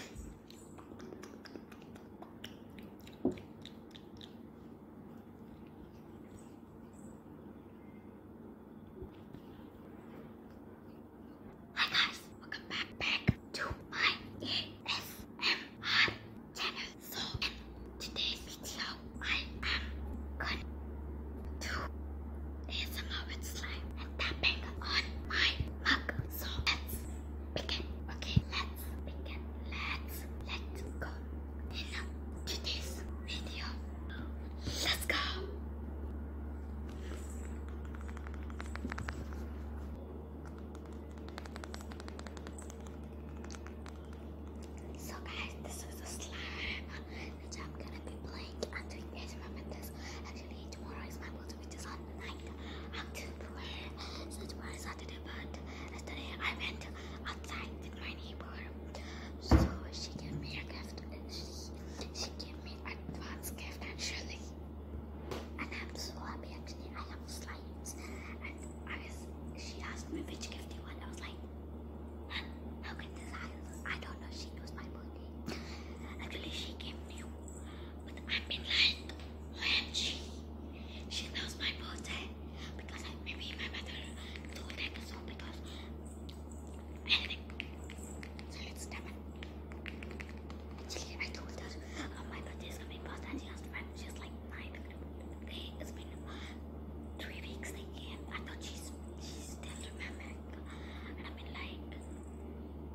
Hi guys, welcome back back to my ASMR channel. So in today's video, I am going to ASMR with slime and on my mug. So let's begin. Okay, let's begin. Let's let's go in today's video. Let's go. So guys, this is a slime which I'm gonna be playing and doing ASMR with this. Actually, tomorrow my birthday which on the 9th October. So it's for Saturday, but yesterday I went outside with my neighbor. So she gave me a gift and she, she gave me advance gift actually. And I'm so happy actually. I have slides. And I was, she asked me which gift you want. I was like, how can this happen? I don't know. She knows my birthday. Actually, she gave me with I've like, OMG, she knows my birthday because I, maybe my mother told that or so because anyway. So I told her oh, my birthday is coming past and she asked when she's like nine. Okay, it's been three weeks again. I thought she's she still remembered, and I mean like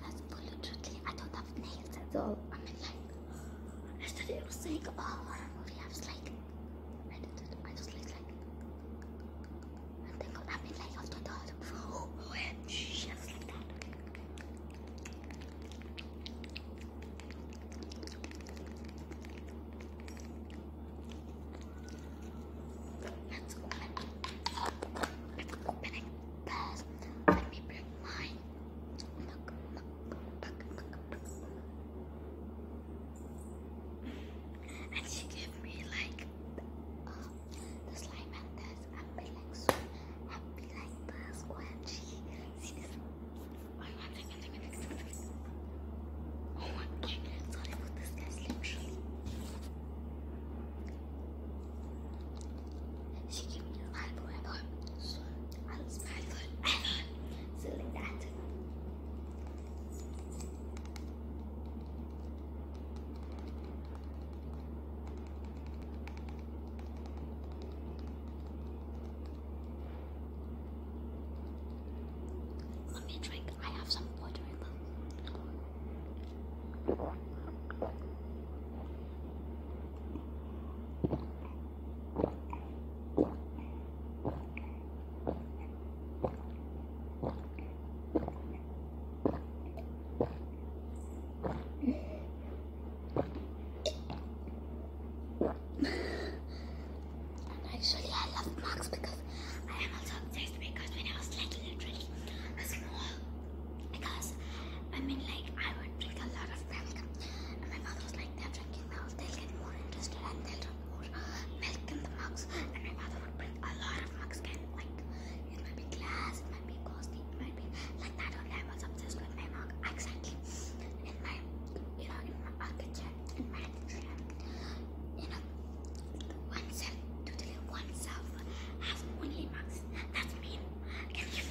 That's literally, I don't have nails at all. I mean, like, yesterday I was saying, oh, horror movie. I was like, I I just like, like, and then I mean, like, after that, oh, OMG, I was like that. Let's open it. Let's open it first. Let me bring line. Look, And she gave me like uh, this line like this. I'll be like so happy like this when she sees this. Oh my god, sorry for this guys she gave me an eyeball ever. So I was mad for ever. So like that. Let me drink. I have some water because I am also obsessed because when I was little, literally a small because I mean like I would drink a lot of milk and my mother was like they're drinking now they'll get more interested and they'll drink more milk in the mugs and my mother would bring a lot of mugs and like it might be glass it might be costly it might be like that only I was obsessed with my mug exactly in my you know in my architecture in my architecture you know oneself totally oneself has 28 bucks. That's me Can you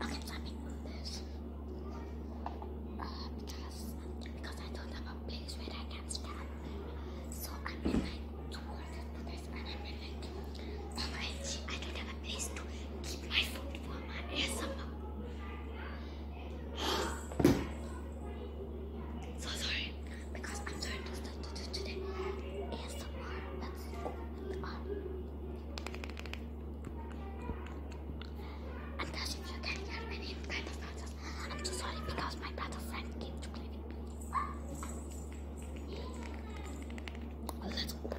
Okay, let me move this. Uh, because, because I don't have a place where I can stand. So I'm in like towards this and I'm in like oh I don't have a place to keep my food for my ASMR. so sorry because I'm so to do today Let's open um, I'm touching you can hear any kind of noises. I'm so sorry because my brother friend came to play with me. Let's open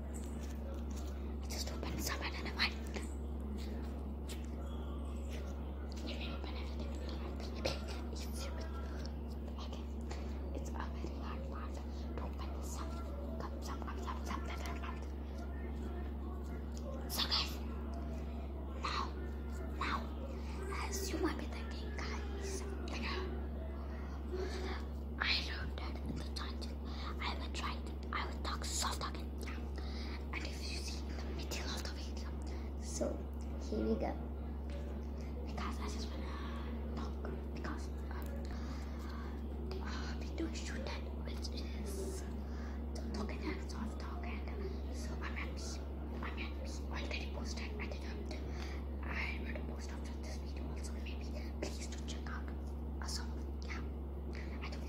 I just opened some and then I went. You open it. It's, okay. it's a very hard part open some, come, some, come, some, some, different part. So now, now, as you might be thinking, guys, you know, that the title. I will try I will talk soft talking. yeah. And if you see in the middle of the video. So here we go. Because I just wanna talk because um, uh, we do shoot that which is the talking that soft talking. Uh, so I'm happy. I'm happy. I'll it posted. I think I'm I will post after this video also maybe. Please do check out. Awesome. Yeah. I told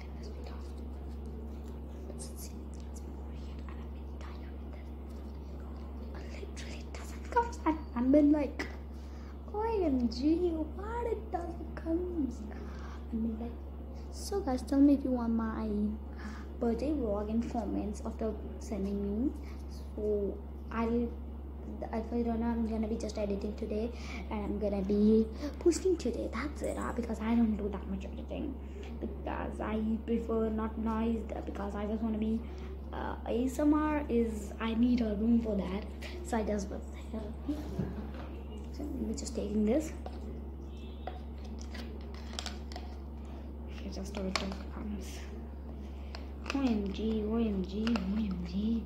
him it's and I've been like, OMG, what it doesn't come. I've been like, so guys, tell me if you want my birthday vlog and comments after sending me. So I'll I you don't know i'm gonna be just editing today and i'm gonna be posting today that's it uh, because i don't do that much editing because i prefer not noise because i just want to be uh, asmr is i need a room for that so i just was so we're just taking this okay just till it comes omg omg omg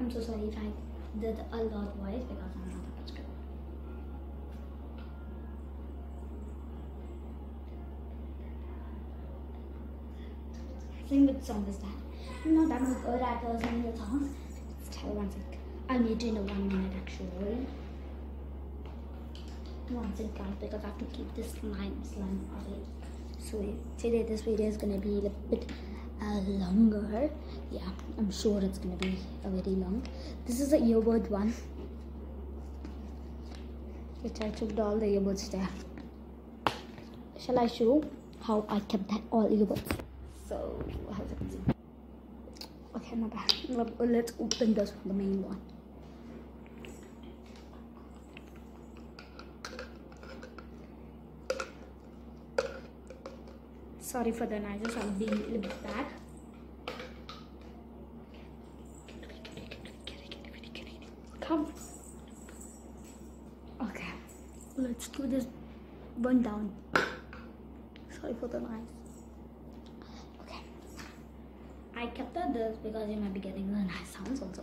I'm so sorry if I did a loud voice because I'm not a prescriber. Sing which song is that? I'm not that good at uh, singing songs. Let's one sec. I'll meet you a one minute actually. One sec guys because I have to keep this slime slime so today this video is gonna be a bit uh, longer yeah i'm sure it's gonna be a very long this is the earbud one which i took all the earbuds there shall i show how i kept that all earbuds so okay my bad let's open this one the main one sorry for the noises i'm being a little bit bad come okay let's do this one down sorry for the noise okay i kept this because you might be getting the nice sounds also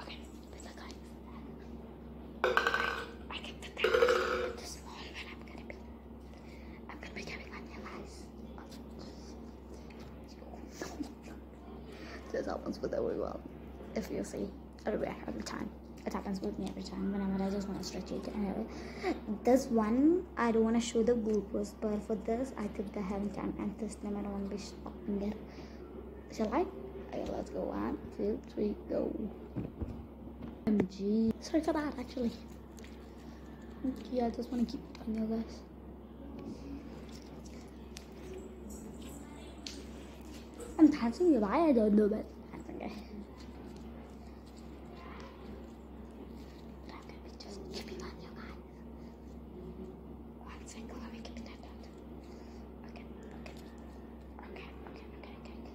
Okay, listen guys. I can put that in the I'm gonna be I'm gonna be doing on your eyes. This happens with everyone. If you see, it'll be every time. It happens with me every time. Whenever I just want to stretch it, anyway this one I don't want to show the goalpost but for this I think I haven't time and this time I don't want to be stopping there shall I? okay let's go one two three go MG sorry for that actually yeah I just want to keep it on you guys I'm dancing you I don't know but that's okay I'm gonna be just keeping on your One single, are we keeping that Okay, okay. Okay, okay, okay, okay.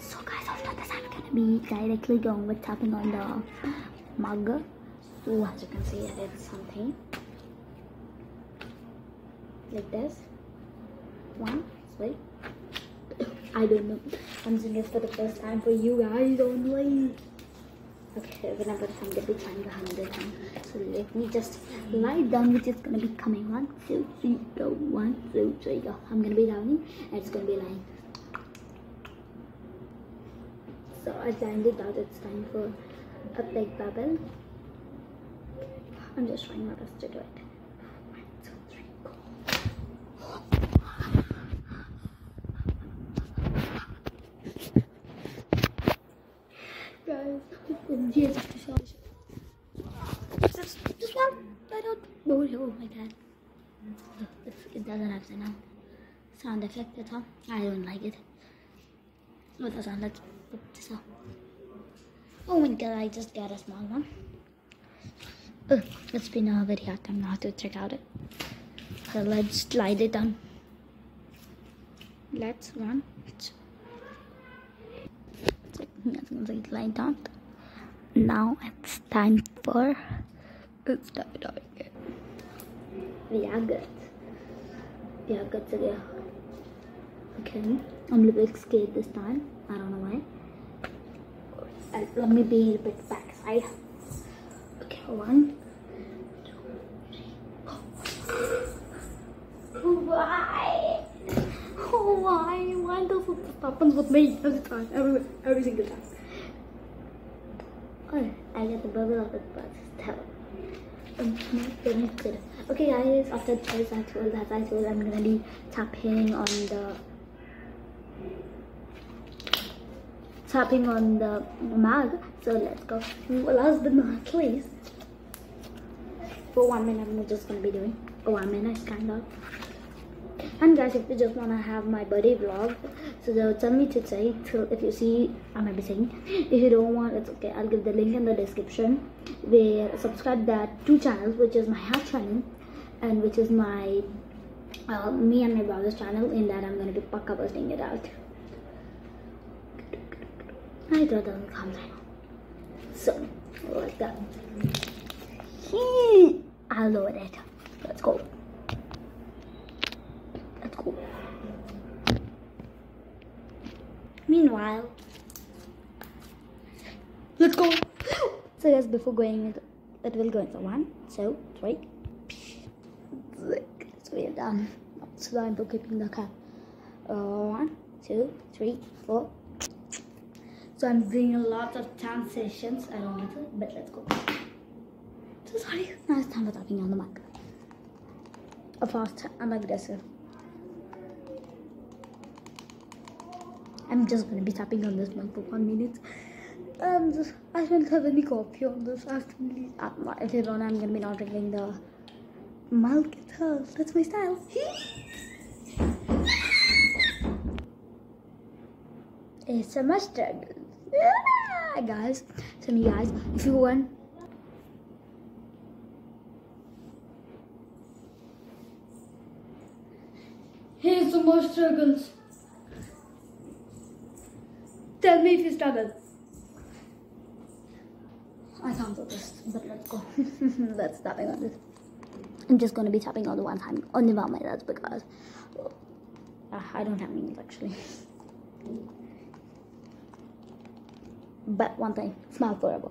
So guys, after this I'm gonna be directly going with tapping on the mug. So as you can see I something like this. One, wait. I don't know. I'm doing this for the first time for you guys only. Okay, we're not gonna come to the time behind the time. So let me just lie down, which is gonna be coming one two, three, go. One, two, three, go. I'm gonna be downing, and it's gonna be lying. So I landed out. It's time for a big bubble. I'm just trying my best to do it. One, two, three, go. Guys, yes, this, this one, I don't, know oh my dad. It doesn't have sound, sound effect at all. I don't like it. No, that's Let's put this up. Oh my god, I just got a small one. Uh, it's been a very hard time now to check out it. So let's slide it down. Let's run. It's like that. Now it's time for it's time to are good today. Okay, I'm a little bit scared this time. I don't know why. Uh, let me be a bit backside. Okay, one. Why? Why? Why does it happen with me every time? Every, every single time. Oh, I got the bubble of the but still. Um, Okay guys, after this actual, that actual, I'm gonna be tapping on the tapping on the mug. So let's go. Last but not least, for one minute, we're just gonna be doing a one minute kind of. And guys, if you just wanna have my buddy vlog, so they'll tell me to say till if you see, I might be saying. If you don't want, it's okay. I'll give the link in the description. Where subscribe that two channels, which is my house channel, and which is my uh, me and my brother's channel. In that, I'm gonna be pakka busting it out. I don't come so, like that. He, I'll that. Let's go. Let's go. Meanwhile, let's go. So guys, before going, it will go into one, two, three, six. So we are done. Slime for keeping the cup. Uh, one, two, three, four. So I'm doing a lot of dance sessions. I don't want to, but let's go. So sorry. Now it's time for tapping on the mic. A fast and aggressive. I'm just gonna be tapping on this mic for one minute. and um, I don't have a coffee on this. Actually, later uh, on, I'm gonna be not ringing the Malk it hurls. That's my style. it's a mustard. Yeah, guys, some you guys, if you want Here's the most struggles. Tell me if you struggle. I can't do this, but let's go. let's tapping on this. I'm just gonna be tapping on the one hand on the palm of my hands because uh, I don't have needles actually. but one thing, smile forever.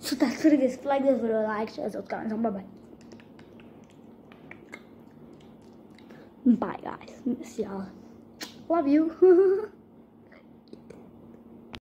So that's gonna like this video, like, share, subscribe, and bye bye. Bye guys, miss y'all. Love you.